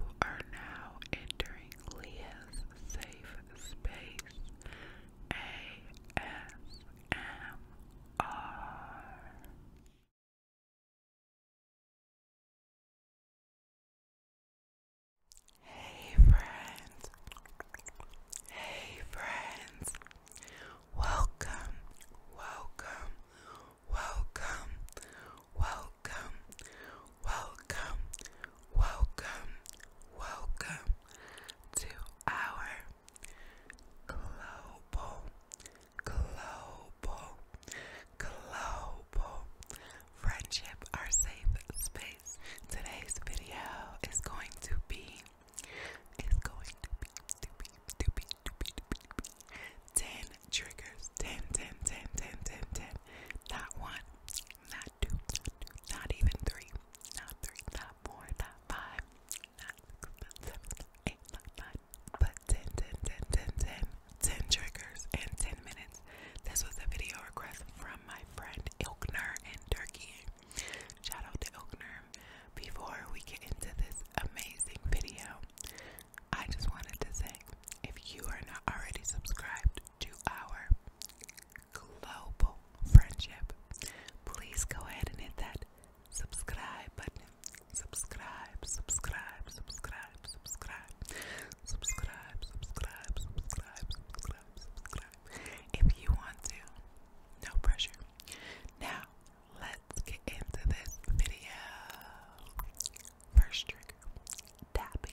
We are now entering Leah's safe space. ASMR. Hey friends. Hey friends. Welcome. Welcome. Welcome welcome, welcome, welcome, welcome to our global, global, global friendship, our safe space. Today's video is going to be, to be, 10 triggers. 10, 10, 10, 10, 10, 10. Not one, not two, not, two, not even three, not three, not four, not five, not six, not seven, not eight, not nine, but 10, 10, 10, 10, 10, 10 triggers in 10 minutes. This was a video request from my friend Ilkner in Turkey. Shout out to Ilkner. Before we get into this amazing video, I just wanted to say if you are not already subscribed to our global friendship, please go ahead and hit that subscribe button. Subscribe, subscribe, subscribe, subscribe, subscribe, subscribe, subscribe, subscribe, subscribe. If you want to, no pressure. Now, let's get into this video. First trigger, tapping.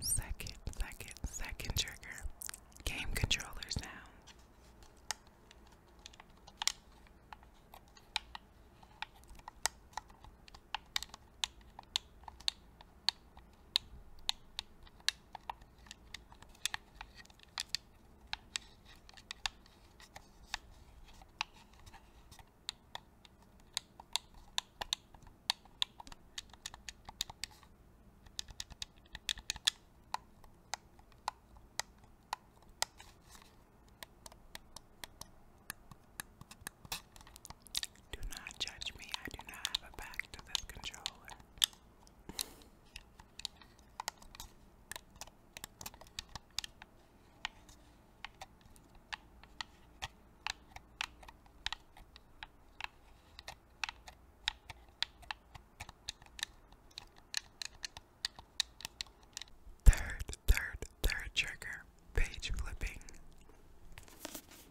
Second, second, second trigger. Game controllers now. Do not judge me, I do not have a back to this controller. Third, third, third trigger, page flipping.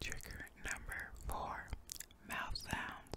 Trigger number four mouth sounds.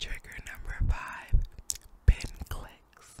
Trigger number five, pin clicks.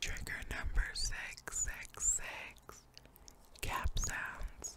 Trigger number six, six, six, cap sounds.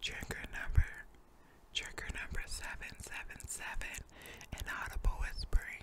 Trigger number trigger number seven seven seven inaudible whispering.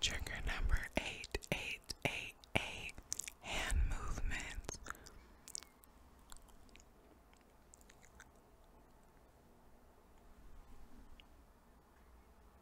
Trigger number eight, eight, eight, eight. Hand movements.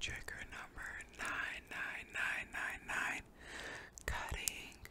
Trigger number nine nine nine nine nine cutting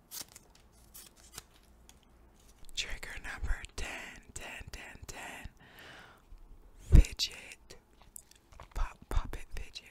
Trigger number 10, 10, 10, 10. Fidget. Pop, puppet fidget.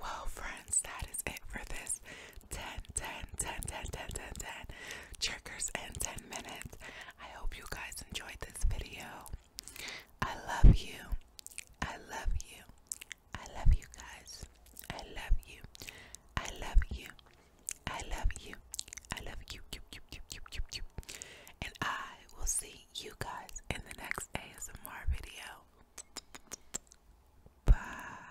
Well, friends, that is it for this 10, 10, 10, 10, 10, 10, 10 triggers in 10 minutes. I hope you guys enjoyed this video. I love you. I love you. I love you guys. I love you. I love you. I love you. I love you. you, you, you, you, you, you. And I will see you guys in the next ASMR video. Bye.